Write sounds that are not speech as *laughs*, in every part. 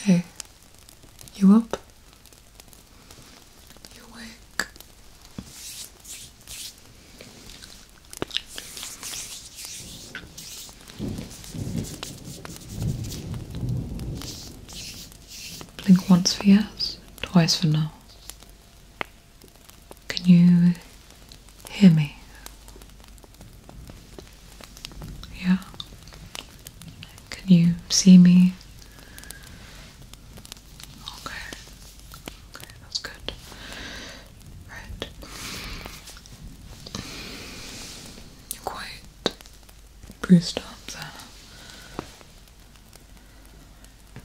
Hey, you up? You awake? Blink once for yes, twice for no. Can you hear me? Yeah. Can you see me? Okay. Okay, that's good. Right. You're quite bruised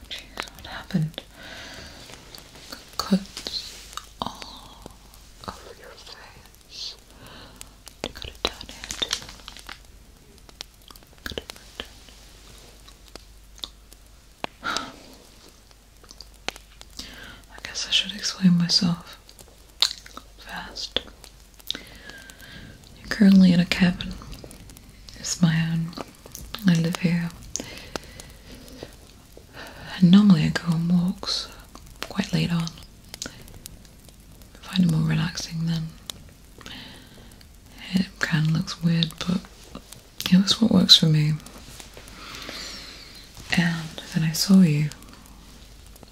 Jeez, what happened? Cuts all over your face. I *sighs* I guess I should explain myself fast. You're currently in a cabin. It's my own. I live here normally I go on walks quite late on. I find it more relaxing then. It kind of looks weird, but it was what works for me. And then I saw you.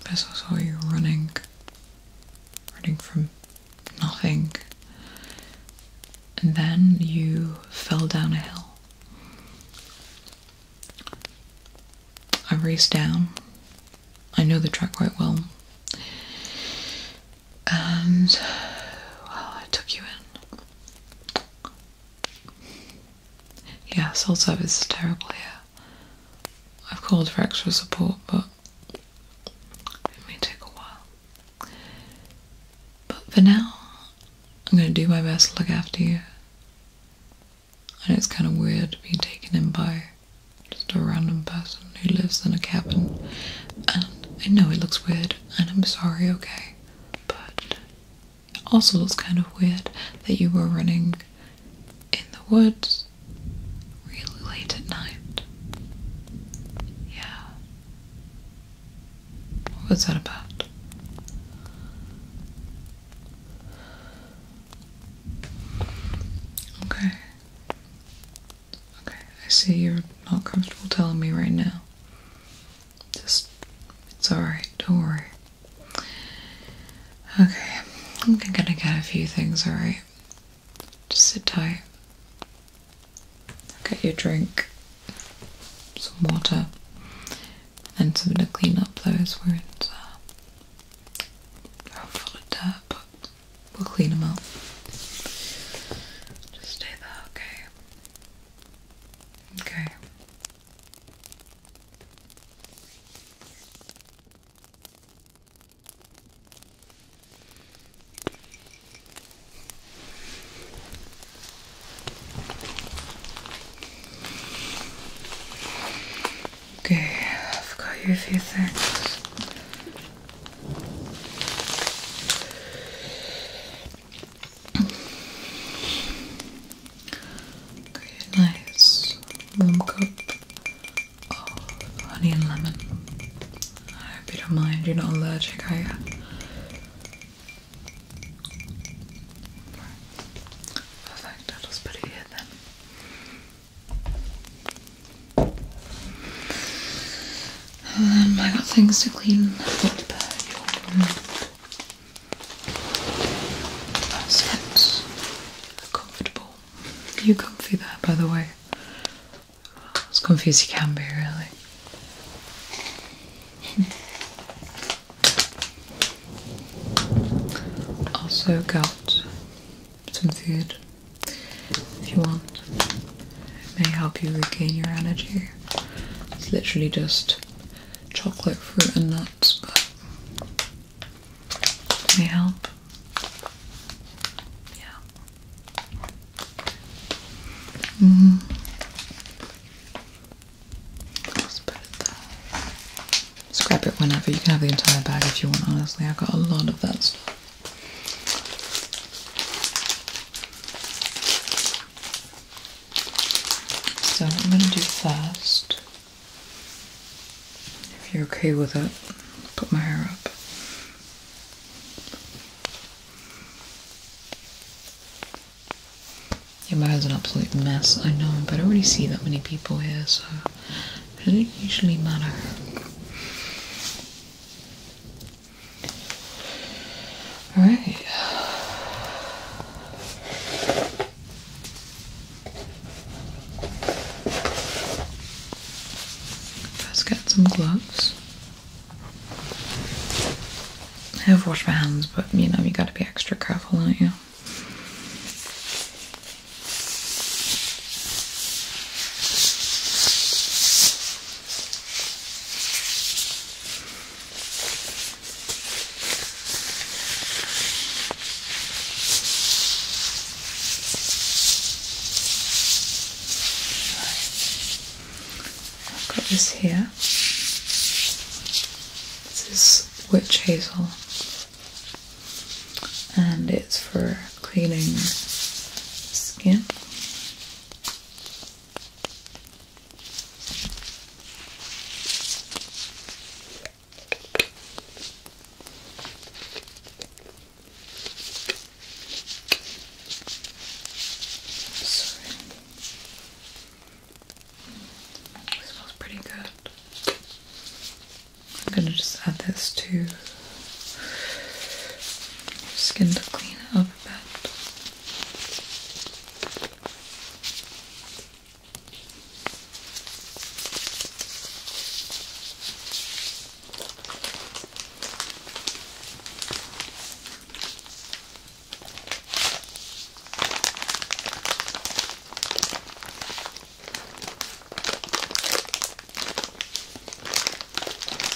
First I saw you running. Running from nothing. And then you fell down a hill. I raced down. I know the track quite well. And, well, I took you in. Yeah, cell service is terrible Yeah, I've called for extra support, but it may take a while. But for now, I'm going to do my best to look after you. And it's kind of weird being taken in by just a random person who lives in a cabin. And I know it looks weird, and I'm sorry, okay? But it also looks kind of weird that you were running in the woods really late at night. Yeah. What was that about? Okay. Okay, I see you're not comfortable telling me right now. Just, it's alright, don't worry. Okay, I'm gonna get a few things, alright? Just sit tight. get your drink, some water, and so to clean up those where it's uh, full of dirt, we'll clean them up. Just stay there, okay? Okay. Okay, I've got you a few things. Okay, nice warm cup of honey and lemon. I hope you don't mind, you're not allergic, are you? Perfect, that was pretty good then. And I got things to clean up your room. That's Comfortable. You comfy there, by the way. As comfy as you can be, really. *laughs* also got some food if you want. It may help you regain your energy. It's literally just chocolate, fruit, and nuts, but it may help. Yeah. -hmm. Scrap it whenever. You can have the entire bag if you want, honestly. I've got a lot of that stuff. So, I'm going to do first, if you're okay with it, put my hair up. Your bar is an absolute mess, I know, but I already see that many people here, so it doesn't usually matter. Alright. Let's get some gloves. I have washed my hands, but you know, you gotta be extra careful, aren't you? I've got this here. This is witch hazel, and it's for cleaning skin smells pretty good. I'm gonna just add this to your skin to clean it up a bit.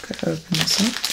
Could open this up. Good.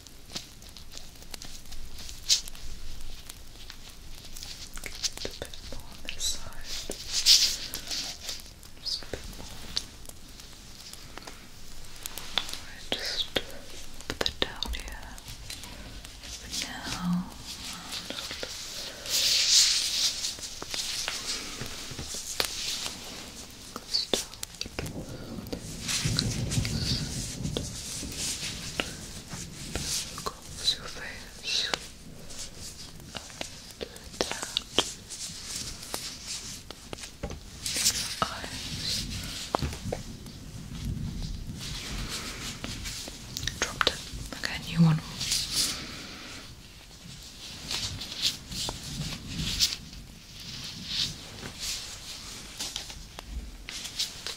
Get a bit more on this side. Just a bit more. Alright, just put that down here. now. And across Dropped it. Okay, new one.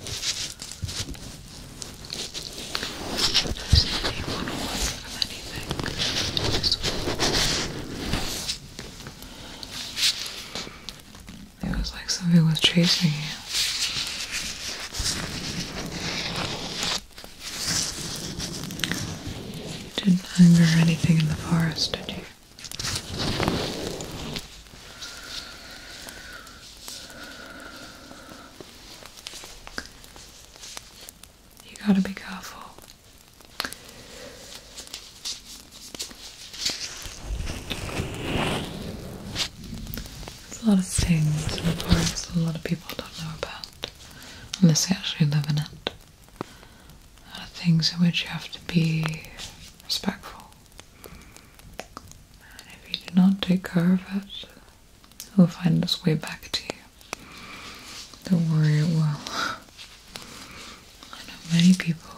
Does It was like something was chasing you. You didn't hunger anything in the forest, did you? You gotta be careful. There's a lot of things in the forest that a lot of people don't know about unless they actually live in it. There are things in which you have to be respectful. And if you do not take care of it, it will find its way back to you. Don't worry, it will. I know many people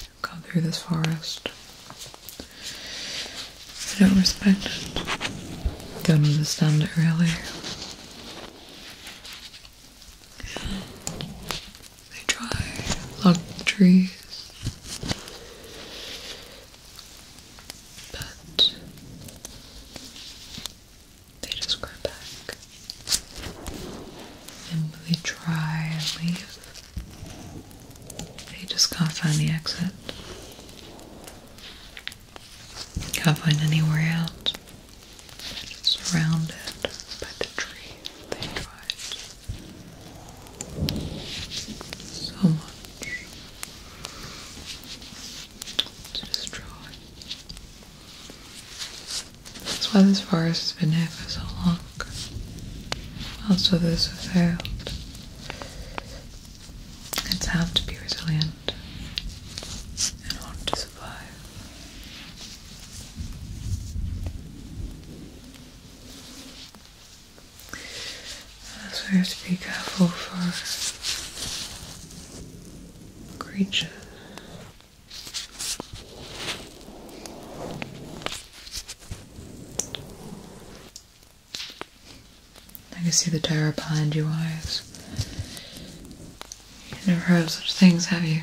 who come through this forest. They don't respect it. Don't understand it really. They try lock the trees, but they just grow back, and they try and leave. They just can't find the exit. Can't find anywhere out. Surrounded by the trees they tried. So much to destroy. That's why this forest has been here for so long. Also, this have failed. It's how to be resilient and want to survive. So we have to be careful for creatures. I can see the terror behind your eyes. You never heard of such things, have you?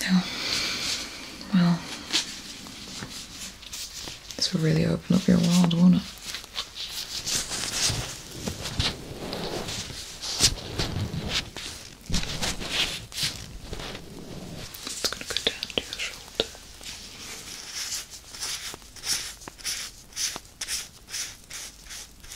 No. Well, this will really open up your world, won't it? It's gonna go down to your shoulder.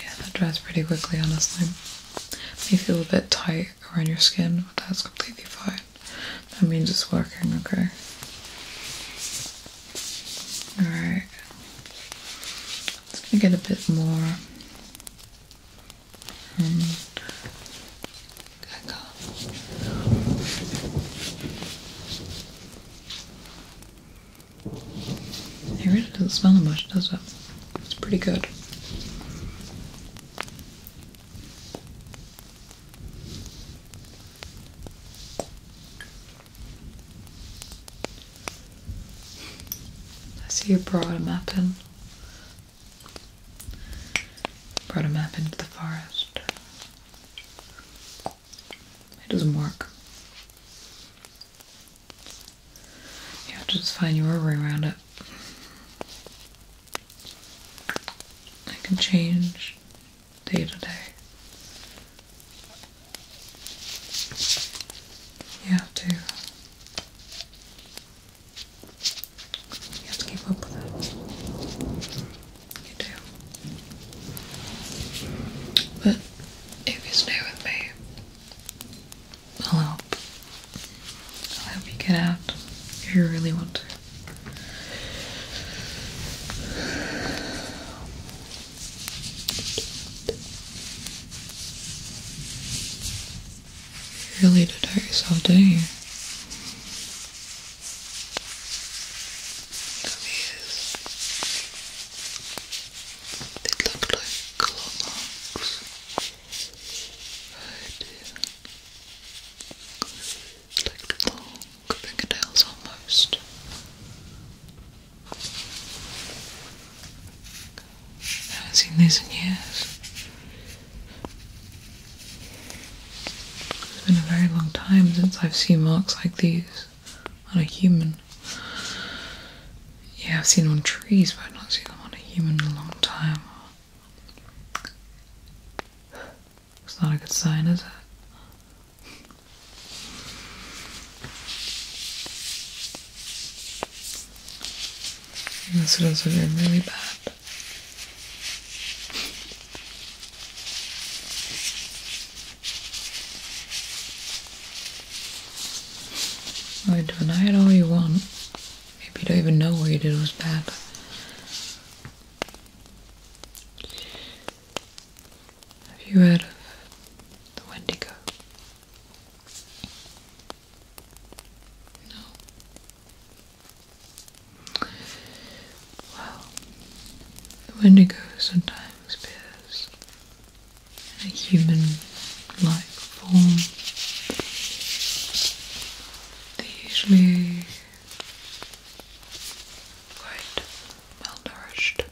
Yeah, that dries pretty quickly, honestly. May feel a bit tight around your skin, but that's completely fine. That means it's working, okay? Alright. It's gonna get a bit more. Um, and back it really doesn't smell much, does it? It's pretty good. I see you brought a map in. Brought a map into the forest. It doesn't work. You have to just find your way around it. I can change day to day. You have to. You have to keep up with it. You do. But if you stay with me, I'll help. I'll help you get out if you really want to. You really did hurt yourself, do not you? These they look like clocks. Oh dear. Like long fingernails almost. I haven't seen these in years. It's been a very long time since I've seen marks like these on a human. Yeah, I've seen them on trees, but I've not seen them on a human in a long time. It's not a good sign, is it? This is also really bad. Or deny it all you want. Maybe you don't even know what you did was bad. Have you heard of the Wendigo? No. Well, the Wendigo sometimes appears in a human-like form. They're usually quite malnourished.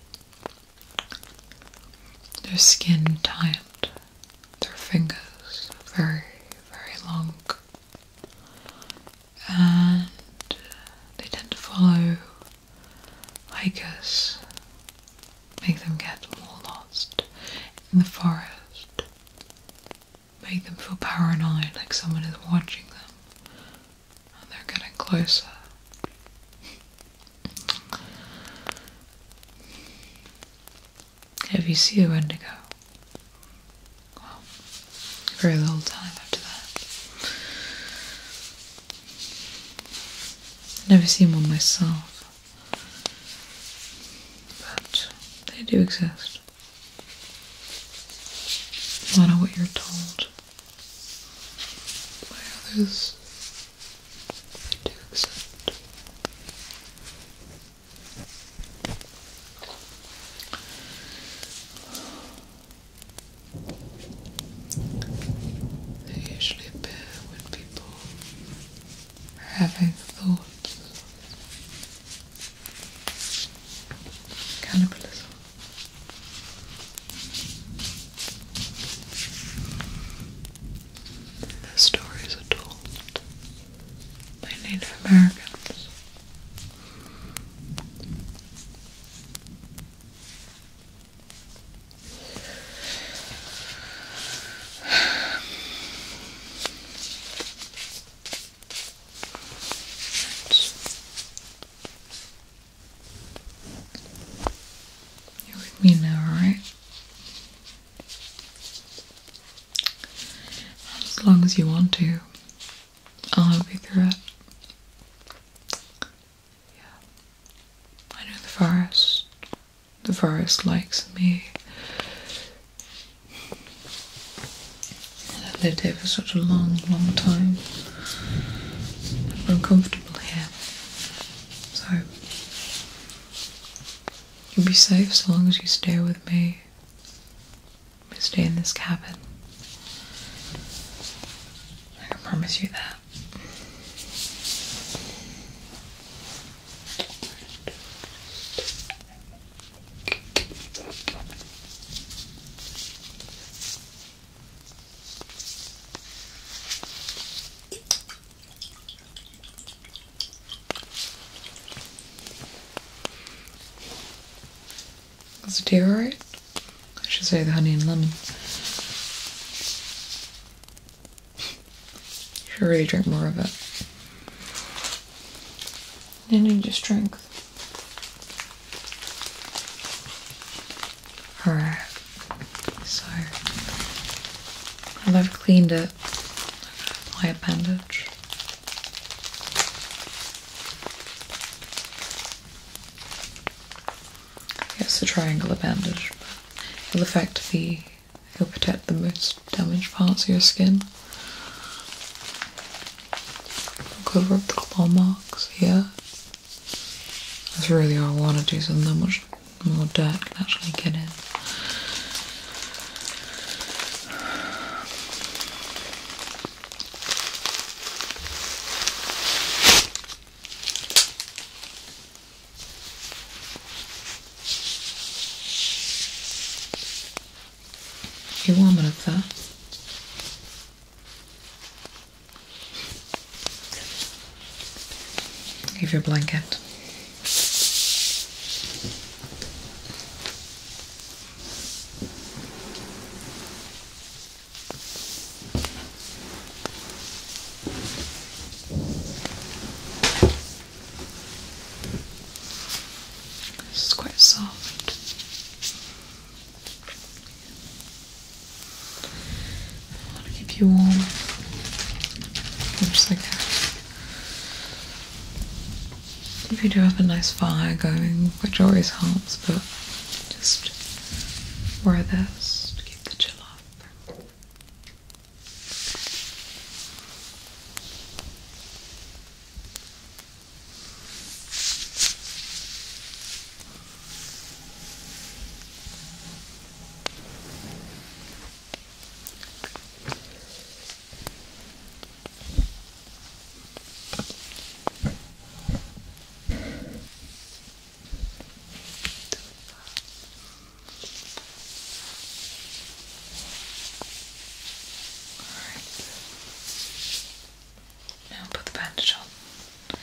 Their skin tight, their fingers very, very long, and they tend to follow hikers make them get more lost in the forest, make them feel paranoid like someone is watching them and they're getting closer. Have you seen a Wendigo, very little time after that. Never seen one myself, but they do exist. I do know what you're told They do exist. They usually appear when people are having thoughts of The stories are told by Native Americans. You're with me now, right? As long as you want to, I'll help you through it. Yeah. I know the forest. The forest likes me. I've lived here for such a long, long time. I'm comfortable here. So, you'll be safe so long as you stay with me. We stay in this cabin. I promise you that. That's a tea right? I should say the honey and lemon. You should really drink more of it. You need your strength. Alright, so I've cleaned it. My appendage. It's a triangular bandage, it'll affect the, will protect the most damaged parts of your skin. cover up the claw marks Yeah, That's really all I want to do, so not much more dirt can actually get in. I warmer up there. Give you a blanket. This is quite soft. I want to keep you warm. Just like If you do have a nice fire going, which always helps, but just wear this to keep the chill off. Alright. Now put the bandage on. Okay.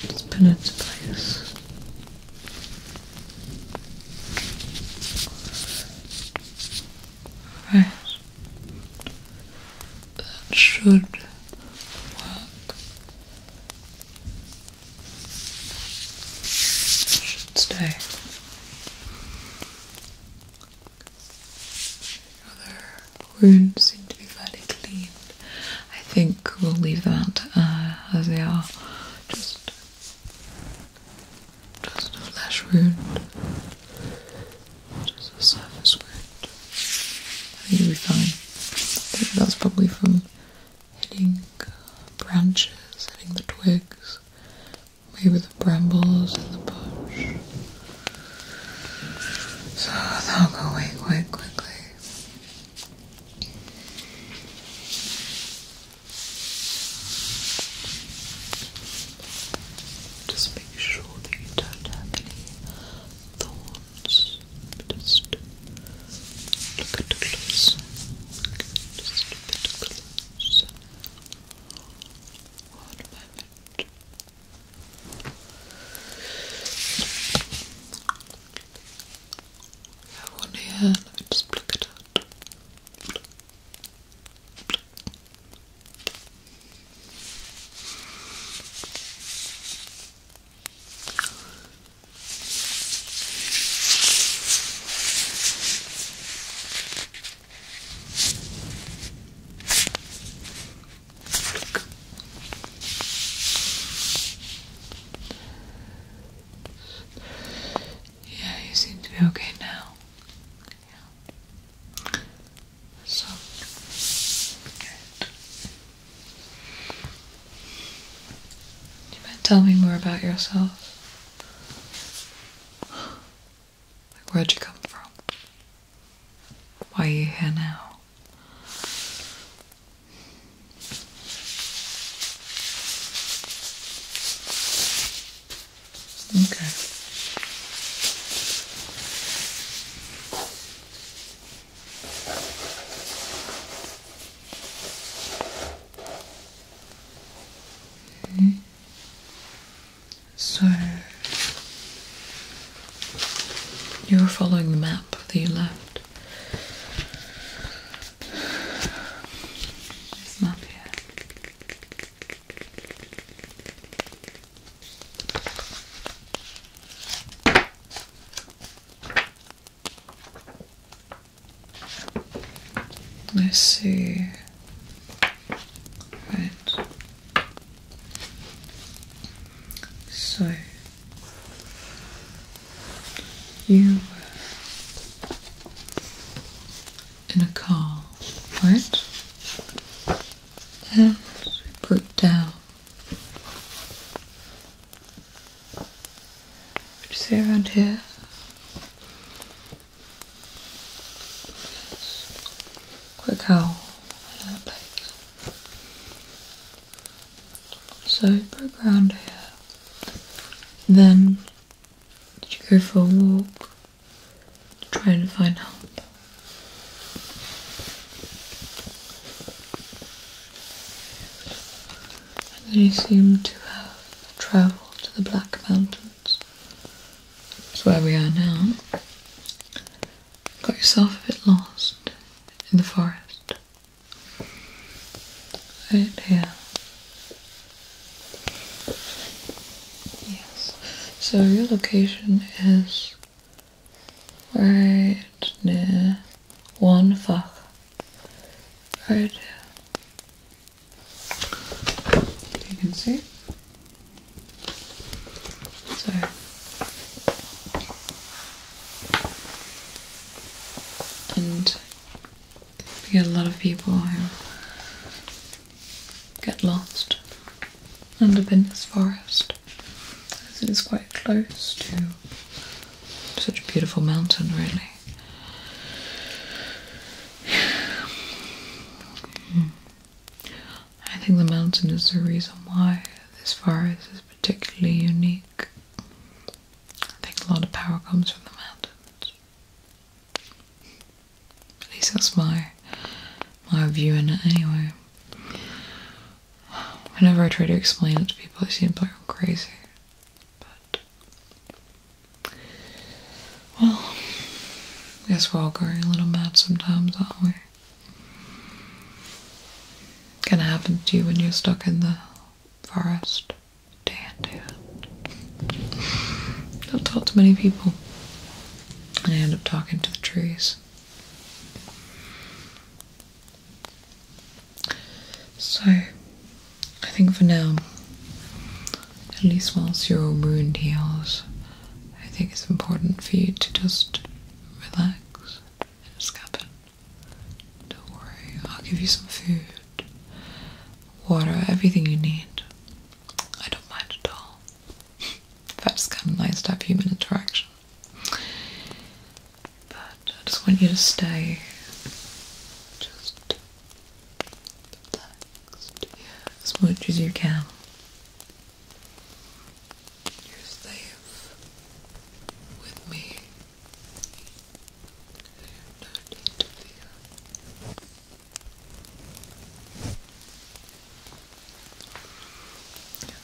Just put it to place. Right. That should work. should stay. Other wounds seem to be fairly clean. I think we'll leave them out uh, as they are. Just, just a flesh wound, just a surface wound. I think it'll be fine. I think that's probably from hitting branches, hitting the twigs. Maybe brambles in the bush. So they'll go away quite quickly. Just make sure that don't have any thorns. Just look at close. Just a close. One moment. I have one here and I just pluck it out. Yeah, you seem to be okay now. So tell me more about yourself where'd you come from? Why are you here now? Okay. -hmm. So you were following the map that you left. map here. Let's see. Right. So you were in a car, right? And we put down. Would you say around here? Quick howl like so broke around here. Then did you go for a walk to try and find help? And then you seem to have travelled to the Black Mountains. That's where we are now got yourself a bit lost in the forest. Right here. Yes. So your location is right near one fuck. Right here. You can see so and we get a lot of people who get lost end up in this forest as it is quite close to such a beautiful mountain really. *sighs* Hmm. I think the mountain is the reason why this forest is particularly unique. I think a lot of power comes from the mountains. At least that's my my view on it anyway. Whenever I try to explain it to people they seem like i crazy. But well I guess we're all going a little mad sometimes, aren't we? Gonna happen to you when you're stuck in the forest. Damn, dude. Don't talk to many people. And I end up talking to the trees. So, I think for now, at least whilst your wound heals, I think it's important for you to just relax and escape it. Don't worry, I'll give you some food, water, everything you need. I don't mind at all. That's kind of nice to have human interaction. But I just want you to stay just as much as you can. You're safe with me. No need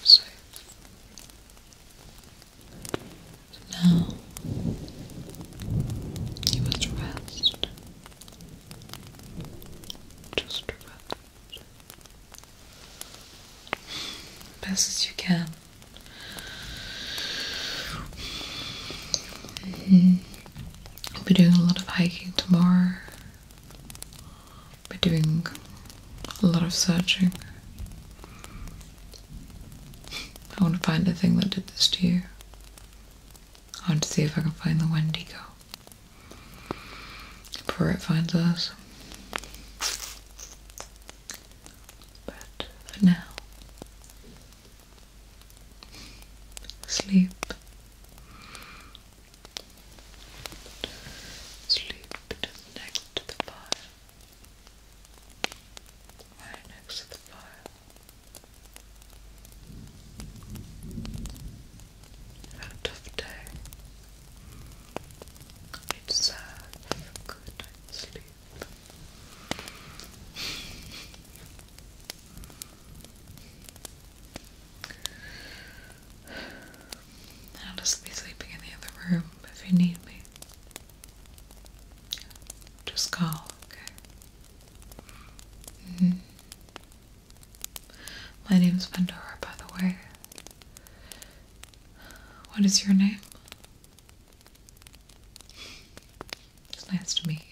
safe. Now you must rest. Just rest best as you can. Mm. Mm-hmm. I'll be doing a lot of hiking tomorrow. I'll be doing a lot of searching. I want to find the thing that did this to you. I want to see if I can find the Wendigo before it finds us. But for now, sleep. Sleep next to the fire. Right next to the fire out of day. I deserve a good night's sleep. I'll just be sleeping in the other room if you need me. Just call, okay? -hmm. My name's Pandora, by the way. What is your name? It's nice to meet you.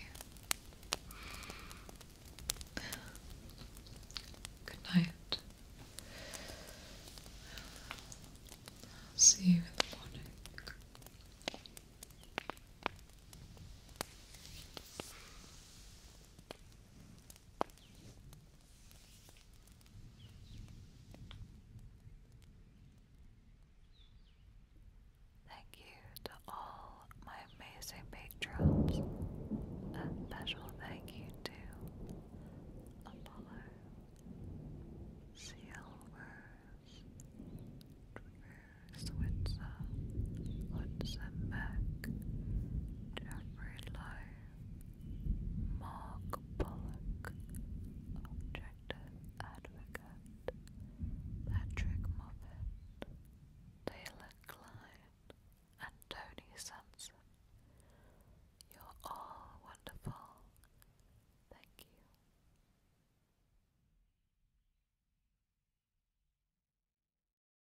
Good night. see you in the morning. Thank you to all my amazing patrons. A special thank you to Apollo, Sealvers, Drew Switzer, Hudson Mack, Amarillo, Mark Pollock, Objective Advocate, Patrick Moffat, Taylor Klein, and Tony Sampson. You're all wonderful. Thank you.